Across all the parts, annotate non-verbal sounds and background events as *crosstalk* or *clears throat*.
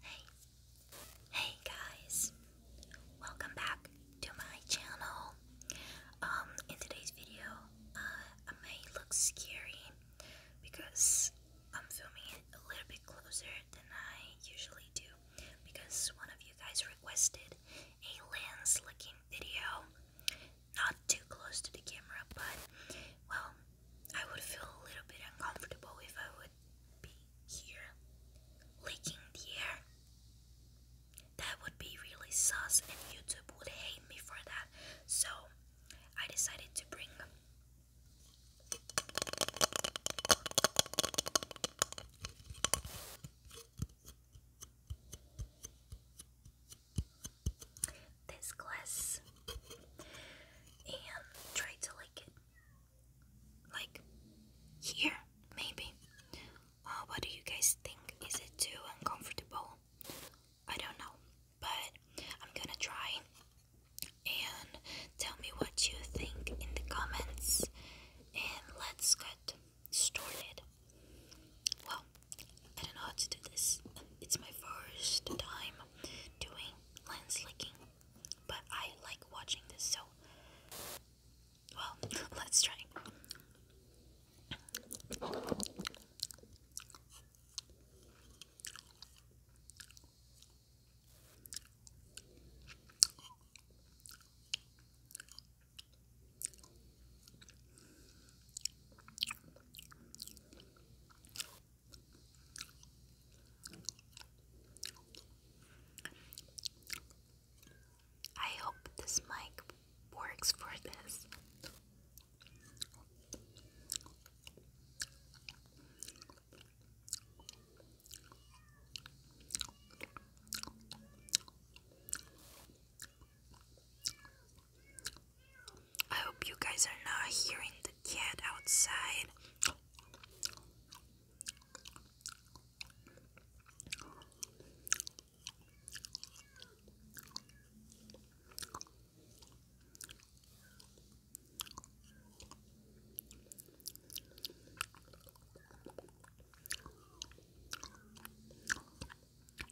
Hey, hey guys, welcome back to my channel. Um, in today's video, uh, I may look scary because I'm filming a little bit closer than I usually do because one of you guys requested a lens looking video. Not too close to the camera, but well, I would feel a little bit uncomfortable if I would be here licking the air. That would be really sus, and YouTube would hate me for that. So I decided to bring this glass and try to like it like here maybe uh, what do you guys think is it too uncomfortable I don't know but I'm gonna try and tell me what you think in the comments and let's get stored Well, I don't know how to do this. It's my first time doing lens licking, but I like watching this, so well, *laughs* let's try. I hope this mic works for this. I hope you guys are not hearing the cat outside.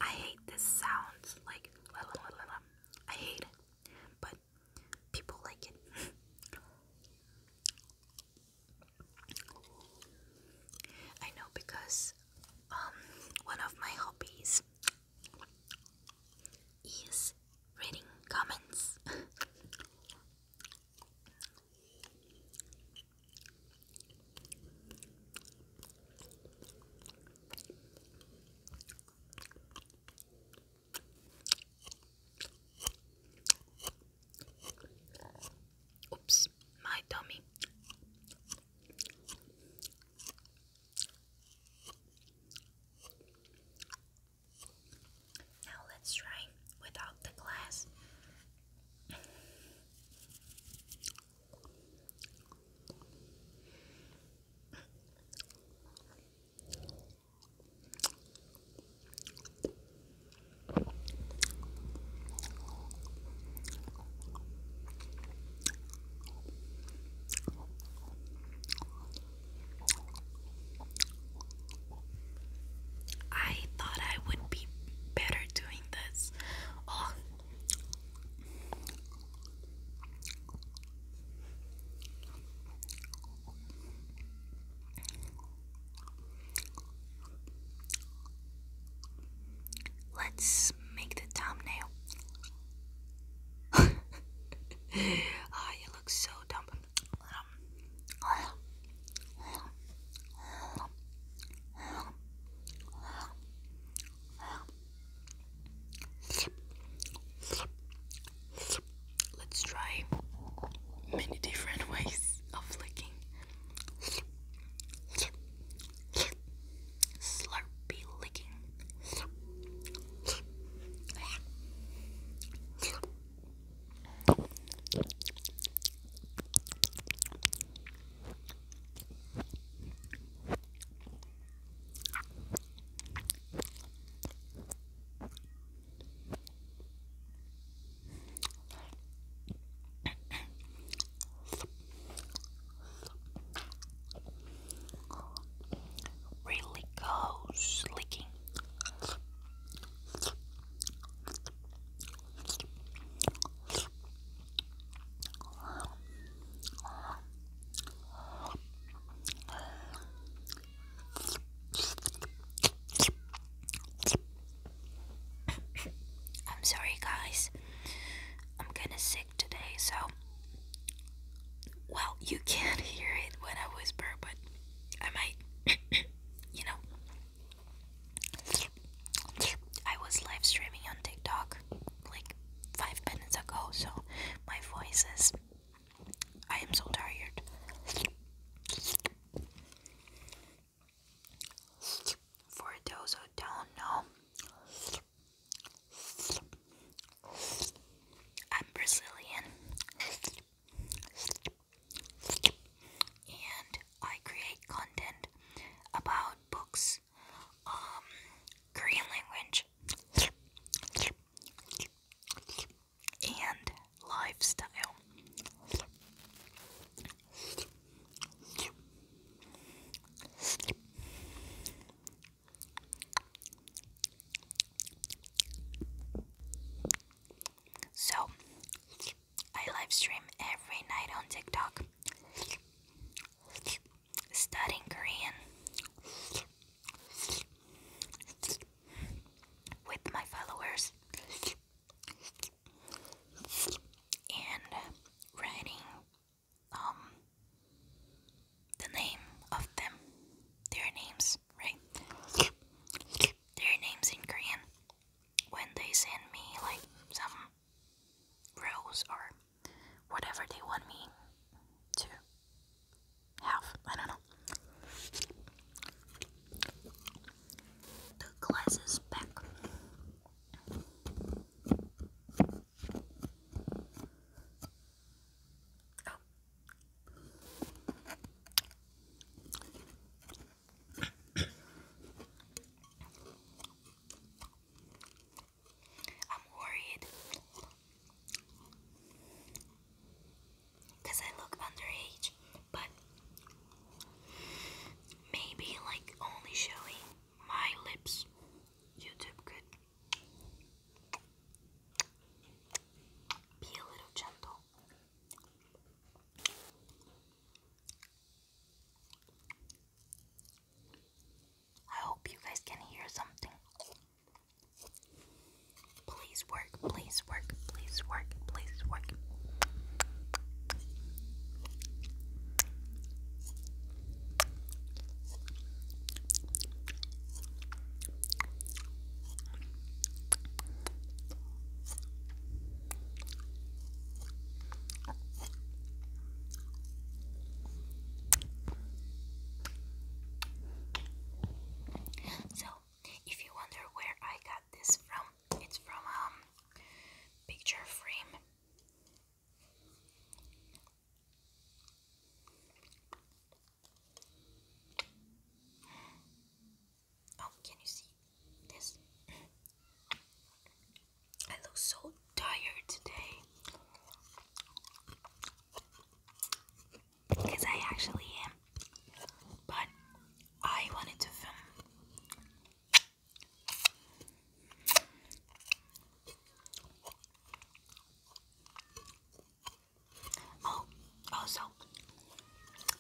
I hate this sound, like I hate it, but people like it. *laughs* I know because um one of my hobbies is reading comments. *laughs* Oops, my dummy. Now let's try without the glass. I thought I would be better doing doing this. Oh. Let's make the thumbnail. *laughs* Ah, you look so dumb. Um, oh. Let's try many different *laughs* ways of licking. Slurpy licking really goes licking I'm sorry, guys. I'm kinda sick today, so. Well, you can't *laughs* hear it when I whisper, but I might, *coughs* you know, I was live streaming on TikTok like five minutes ago, so my voice is. I am so tired. For those who don't know, I'm Brazilian. And I create content about books, um, Korean language, and lifestyle. So, I live stream every night on TikTok. Studying Korean with my followers and writing um the name of them their names right their names in Korean when they send me like some rows or whatever they want me to have. I don't know. The glasses back. Oh. I'm worried because I look underage, but maybe like only showing my lips, YouTube could be a little gentle. I hope you guys can hear something. Please work, please work, please work, please work. So, if you wonder where I got this from, it's from a um, picture frame. Oh, can you see this? *clears throat* I look so tired today because I actually am, but I wanted to film. Oh, also,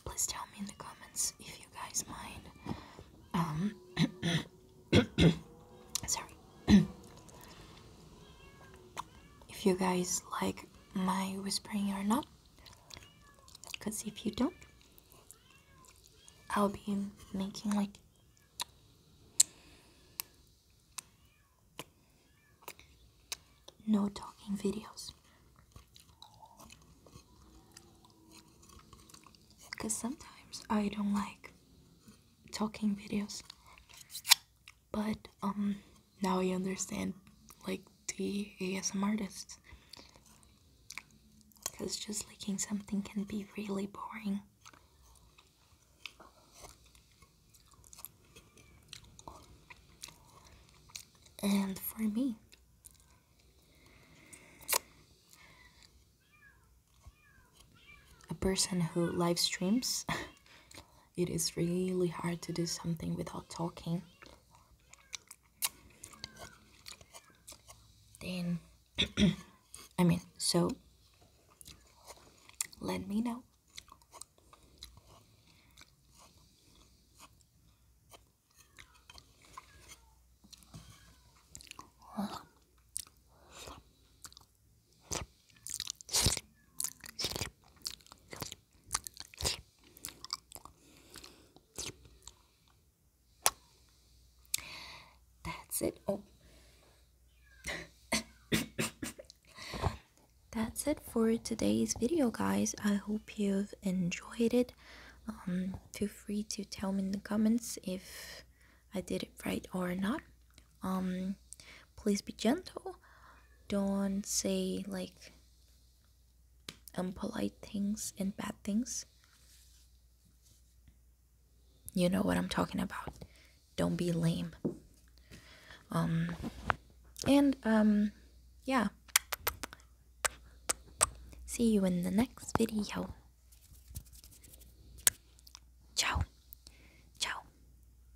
please tell me in the comments if you guys mind. Um, *coughs* sorry. *coughs* if you guys like my whispering or not, because if you don't, I'll be making like no talking videos. Because sometimes I don't like talking videos. But, um, now I understand, like, the ASM artists. Because just licking something can be really boring. And for me, a person who live streams, *laughs* it is really hard to do something without talking. Then, *clears throat* I mean, so let me know. That's it. Oh. *coughs* That's it for today's video, guys. I hope you've enjoyed it. Um, feel free to tell me in the comments if I did it right or not. Um, please be gentle. Don't say like unpolite things and bad things. You know what I'm talking about. Don't be lame. Um, and yeah, See you in the next video. Ciao. Ciao.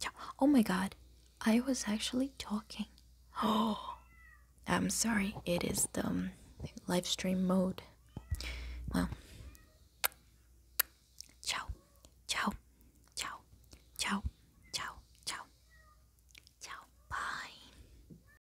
Ciao. Oh my god. I was actually talking. Oh. *gasps* I'm sorry. It is the um, live stream mode. Well. Ciao. Ciao. Ciao. Ciao. Ciao. Ciao. Bye.